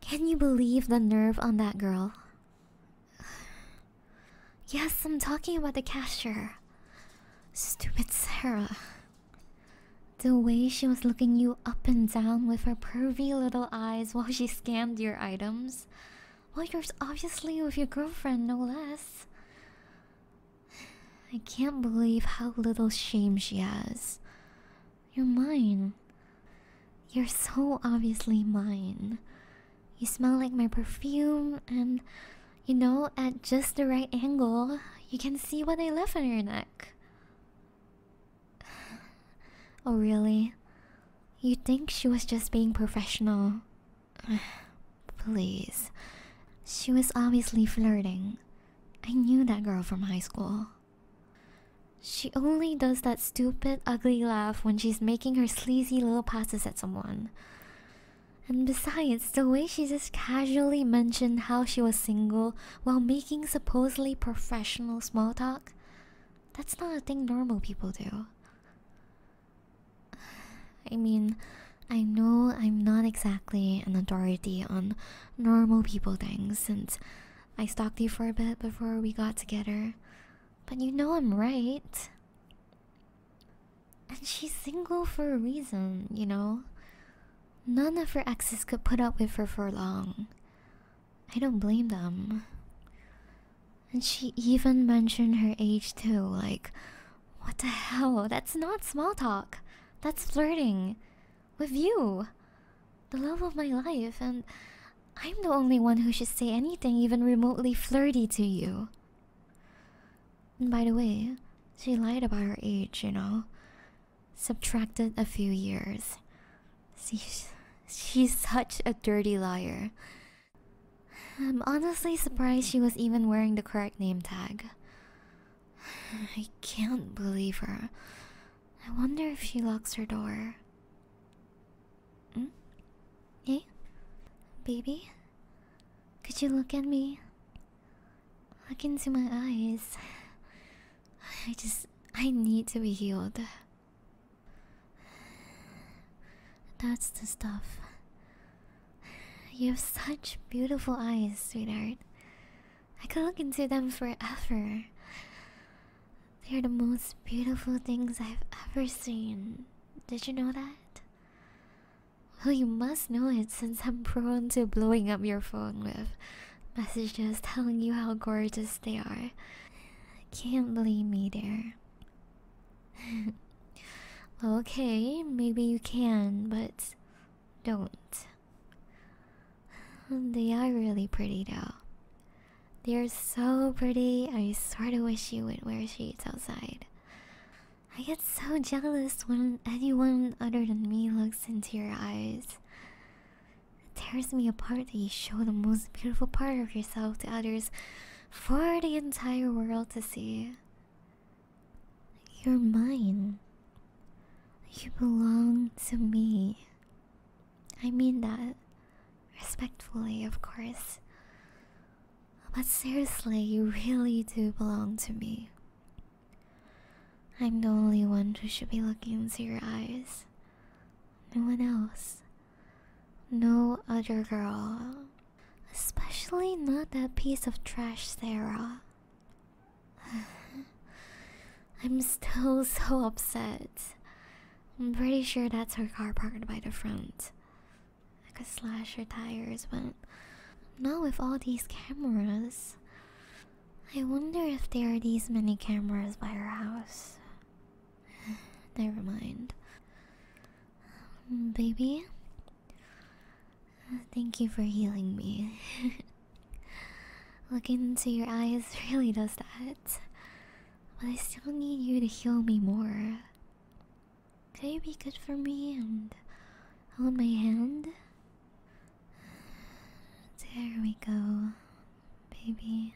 Can you believe the nerve on that girl? Yes, I'm talking about the cashier. Stupid Sarah. The way she was looking you up and down with her pervy little eyes while she scanned your items. while you're obviously with your girlfriend, no less. I can't believe how little shame she has. You're mine. You're so obviously mine. You smell like my perfume, and you know, at just the right angle, you can see what I left on your neck. Oh, really? You think she was just being professional? Please. She was obviously flirting. I knew that girl from high school. She only does that stupid, ugly laugh when she's making her sleazy little passes at someone. And besides, the way she just casually mentioned how she was single while making supposedly professional small talk, that's not a thing normal people do. I mean, I know I'm not exactly an authority on normal people things. since I stalked you for a bit before we got together. But you know I'm right. And she's single for a reason, you know? None of her exes could put up with her for long. I don't blame them. And she even mentioned her age too, like, what the hell? That's not small talk. That's flirting. With you! The love of my life, and I'm the only one who should say anything even remotely flirty to you. And by the way, she lied about her age, you know. Subtracted a few years. She's, she's such a dirty liar. I'm honestly surprised she was even wearing the correct name tag. I can't believe her. I wonder if she locks her door. Hmm? Hey? Baby? Could you look at me? Look into my eyes. I just. I need to be healed. That's the stuff. You have such beautiful eyes, sweetheart. I could look into them forever. They're the most beautiful things I've ever seen. Did you know that? Well, you must know it since I'm prone to blowing up your phone with messages telling you how gorgeous they are. Can't believe me there. okay, maybe you can, but don't. They are really pretty though. They are so pretty. I sort of wish you would wear shades outside. I get so jealous when anyone other than me looks into your eyes. It tears me apart that you show the most beautiful part of yourself to others for the entire world to see. You're mine. You belong to me. I mean that respectfully, of course. But seriously, you really do belong to me. I'm the only one who should be looking into your eyes. No one else. No other girl. Especially not that piece of trash, Sarah. I'm still so upset. I'm pretty sure that's her car parked by the front. I could slash her tires, but not with all these cameras. I wonder if there are these many cameras by her house. Never mind. Baby, thank you for healing me. Looking into your eyes really does that. But I still need you to heal me more. Could you be good for me and hold my hand? There we go, baby.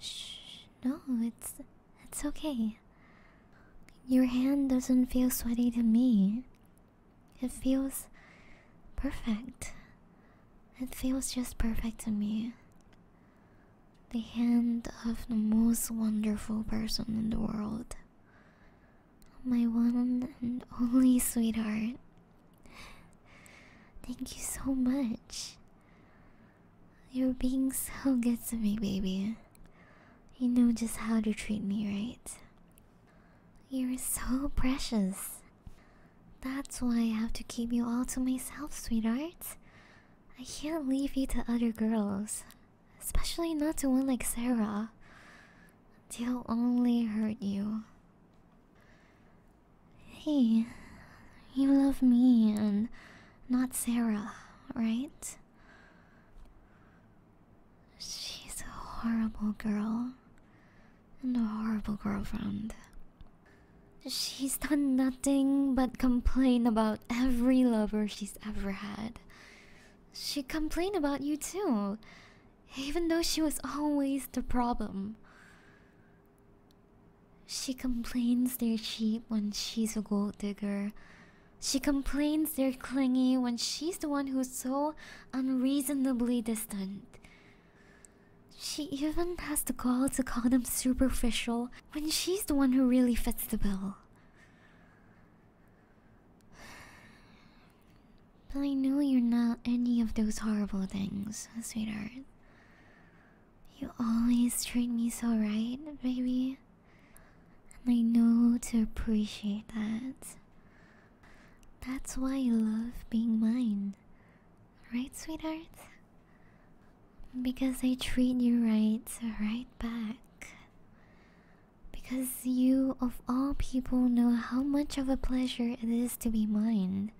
Shh, no, it's it's okay. Your hand doesn't feel sweaty to me. It feels perfect. It feels just perfect to me. The hand of the most wonderful person in the world. My one and only sweetheart. Thank you so much. You're being so good to me, baby. You know just how to treat me, right? You're so precious. That's why I have to keep you all to myself, sweetheart. I can't leave you to other girls, especially not to one like Sarah. she will only hurt you. Hey, you love me and not Sarah, right? She's a horrible girl and a horrible girlfriend. She's done nothing but complain about every lover she's ever had. She complains about you too, even though she was always the problem. She complains they're cheap when she's a gold digger. She complains they're clingy when she's the one who's so unreasonably distant. She even has the gall to call them superficial when she's the one who really fits the bill. But I know you're not any of those horrible things, sweetheart. You always treat me so right, baby. And I know to appreciate that. That's why you love being mine. Right, sweetheart? Because I treat you right, right back. Because you, of all people, know how much of a pleasure it is to be mine.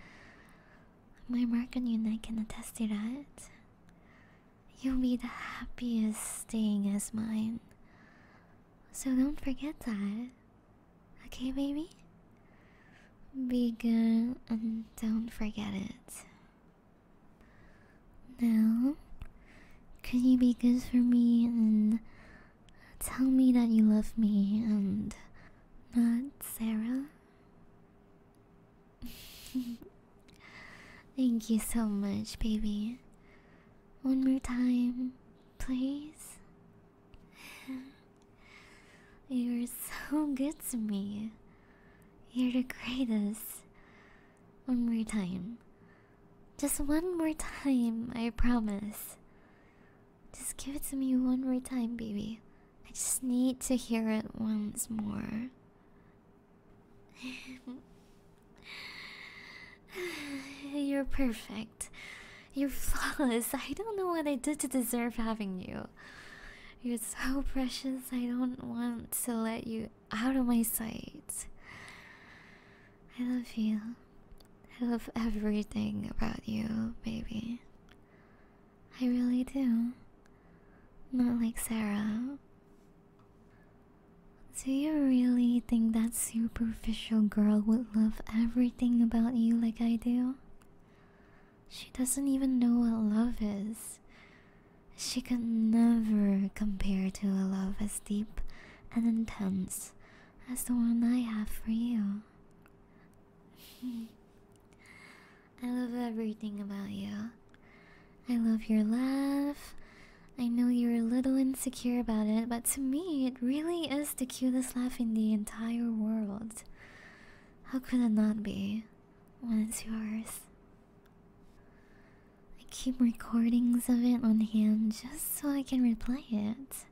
My mark on you, neck can attest to that. You'll be the happiest staying as mine. So don't forget that. Okay, baby? Be good and don't forget it. Now, could you be good for me and tell me that you love me and not Sarah? Thank you so much, baby. One more time, please. You're so good to me. You're the greatest. One more time. Just one more time, I promise. Just give it to me one more time, baby. I just need to hear it once more. You're perfect. You're flawless. I don't know what I did to deserve having you. You're so precious. I don't want to let you out of my sight. I love you. I love everything about you, baby. I really do. Not like Sarah. Do you really think that superficial girl would love everything about you like I do? She doesn't even know what love is. She can never compare to a love as deep and intense as the one I have for you. I love everything about you. I love your laugh. I know you're a little insecure about it, but to me, it really is the cutest laugh in the entire world. How could it not be when it's yours? I keep recordings of it on hand just so I can replay it.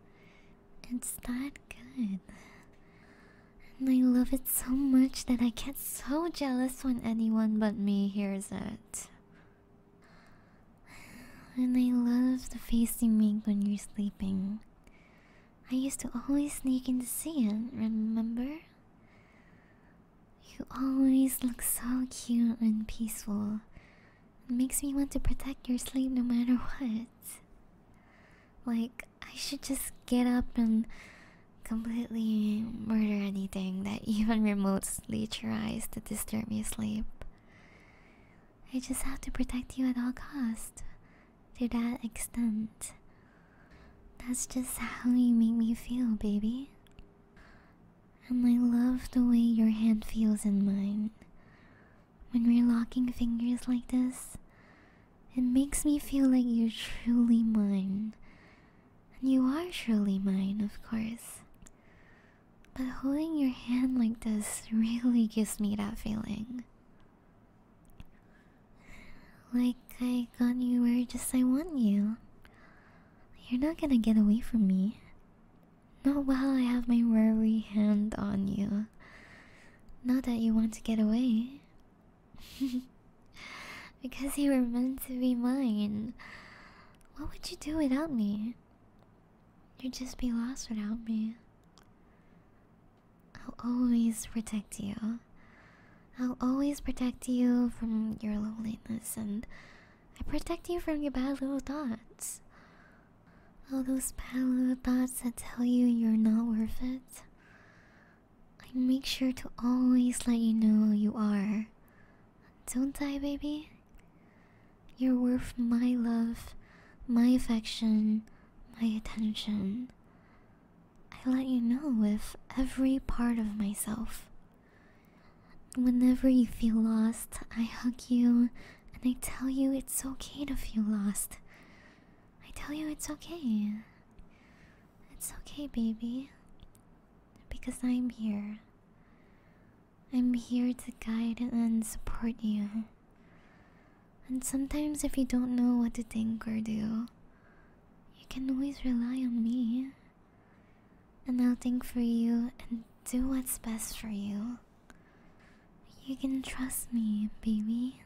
It's that good. And I love it so much that I get so jealous when anyone but me hears it. And I love the face you make when you're sleeping. I used to always sneak in to see you. remember? You always look so cute and peaceful. It makes me want to protect your sleep no matter what. Like, I should just get up and completely murder anything that even remotely tries to disturb me sleep. I just have to protect you at all cost to that extent. That's just how you make me feel, baby. And I love the way your hand feels in mine. When we're locking fingers like this, it makes me feel like you're truly mine. And you are truly mine, of course. But holding your hand like this really gives me that feeling. Like I got you where just I want you. You're not gonna get away from me. Not while I have my worry hand on you. Not that you want to get away. because you were meant to be mine. What would you do without me? You'd just be lost without me. I'll always protect you. I'll always protect you from your loneliness and I protect you from your bad little thoughts. All those bad little thoughts that tell you you're not worth it. I make sure to always let you know you are. Don't die, baby? You're worth my love, my affection, my attention. I let you know with every part of myself. Whenever you feel lost, I hug you and I tell you it's okay to feel lost. I tell you it's okay. It's okay, baby. Because I'm here. I'm here to guide and support you. And sometimes, if you don't know what to think or do, you can always rely on me. And I'll think for you and do what's best for you. You can trust me, baby.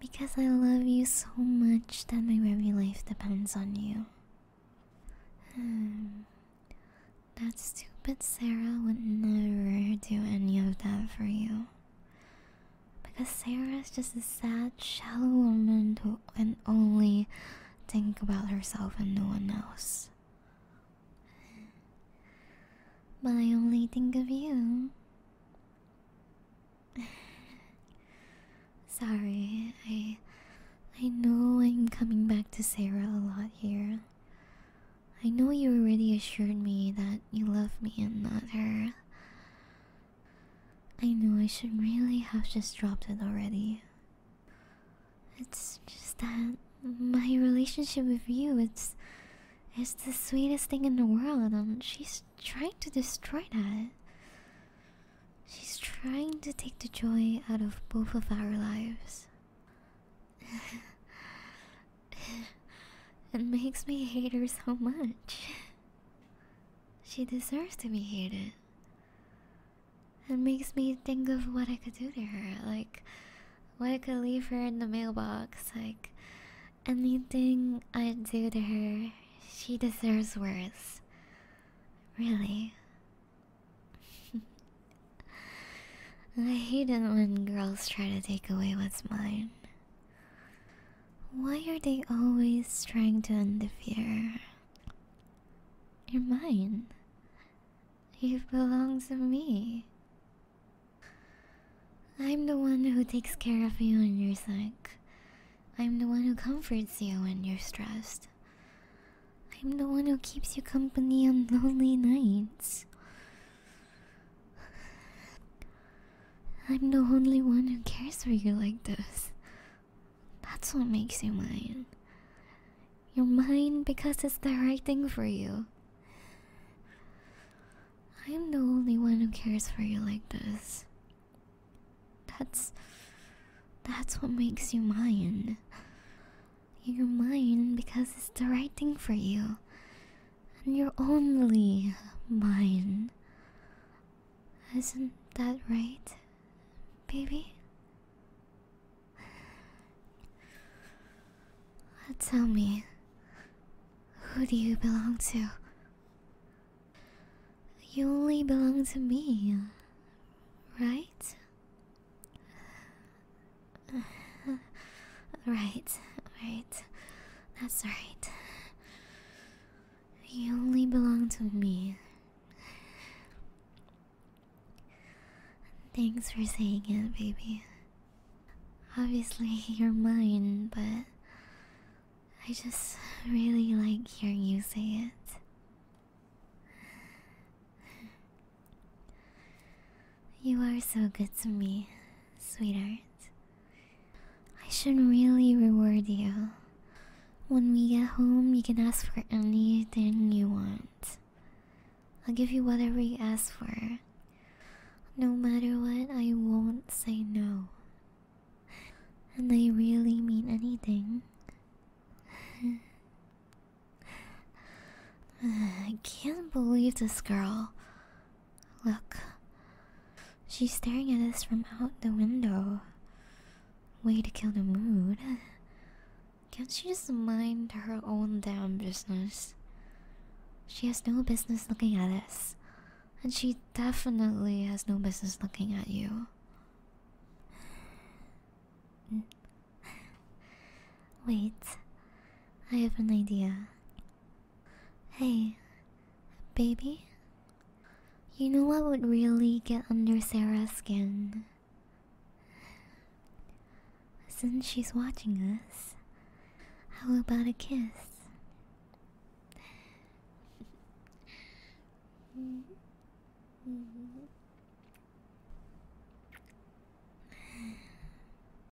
Because I love you so much that my very life depends on you. Hmm. That stupid Sarah would never do any of that for you. Because Sarah is just a sad, shallow woman who can only think about herself and no one else. But I only think of you. Sorry, I I know I'm coming back to Sarah a lot here. I know you already assured me that you love me and not her. I know I should really have just dropped it already. It's just that my relationship with you it's it's the sweetest thing in the world and she's trying to destroy that. She's trying to take the joy out of both of our lives it makes me hate her so much. She deserves to be hated. It makes me think of what I could do to her, like what I could leave her in the mailbox, like anything I do to her, she deserves worse. Really. I hate it when girls try to take away what's mine. Why are they always trying to interfere? You're mine. You belong to me. I'm the one who takes care of you when you're sick. I'm the one who comforts you when you're stressed. I'm the one who keeps you company on lonely nights. I'm the only one who cares for you like this. That's what makes you mine. You're mine because it's the right thing for you. I'm the only one who cares for you like this. That's that's what makes you mine. You're mine because it's the right thing for you. And you're only mine. Isn't that right, baby? Tell me, who do you belong to? You only belong to me, right? right, right. That's right. You only belong to me. Thanks for saying it, baby. Obviously, you're mine, but I just really like hearing you say it. You are so good to me, sweetheart. I should really reward you. When we get home, you can ask for anything you want. I'll give you whatever you ask for. No matter what, I won't say no. And I really mean anything. I can't believe this girl. Look, she's staring at us from out the window. Way to kill the mood. Can't she just mind her own damn business? She has no business looking at us, and she definitely has no business looking at you. Wait, I have an idea. Hey, baby? You know I would really get under Sarah's skin? Since she's watching us, how about a kiss?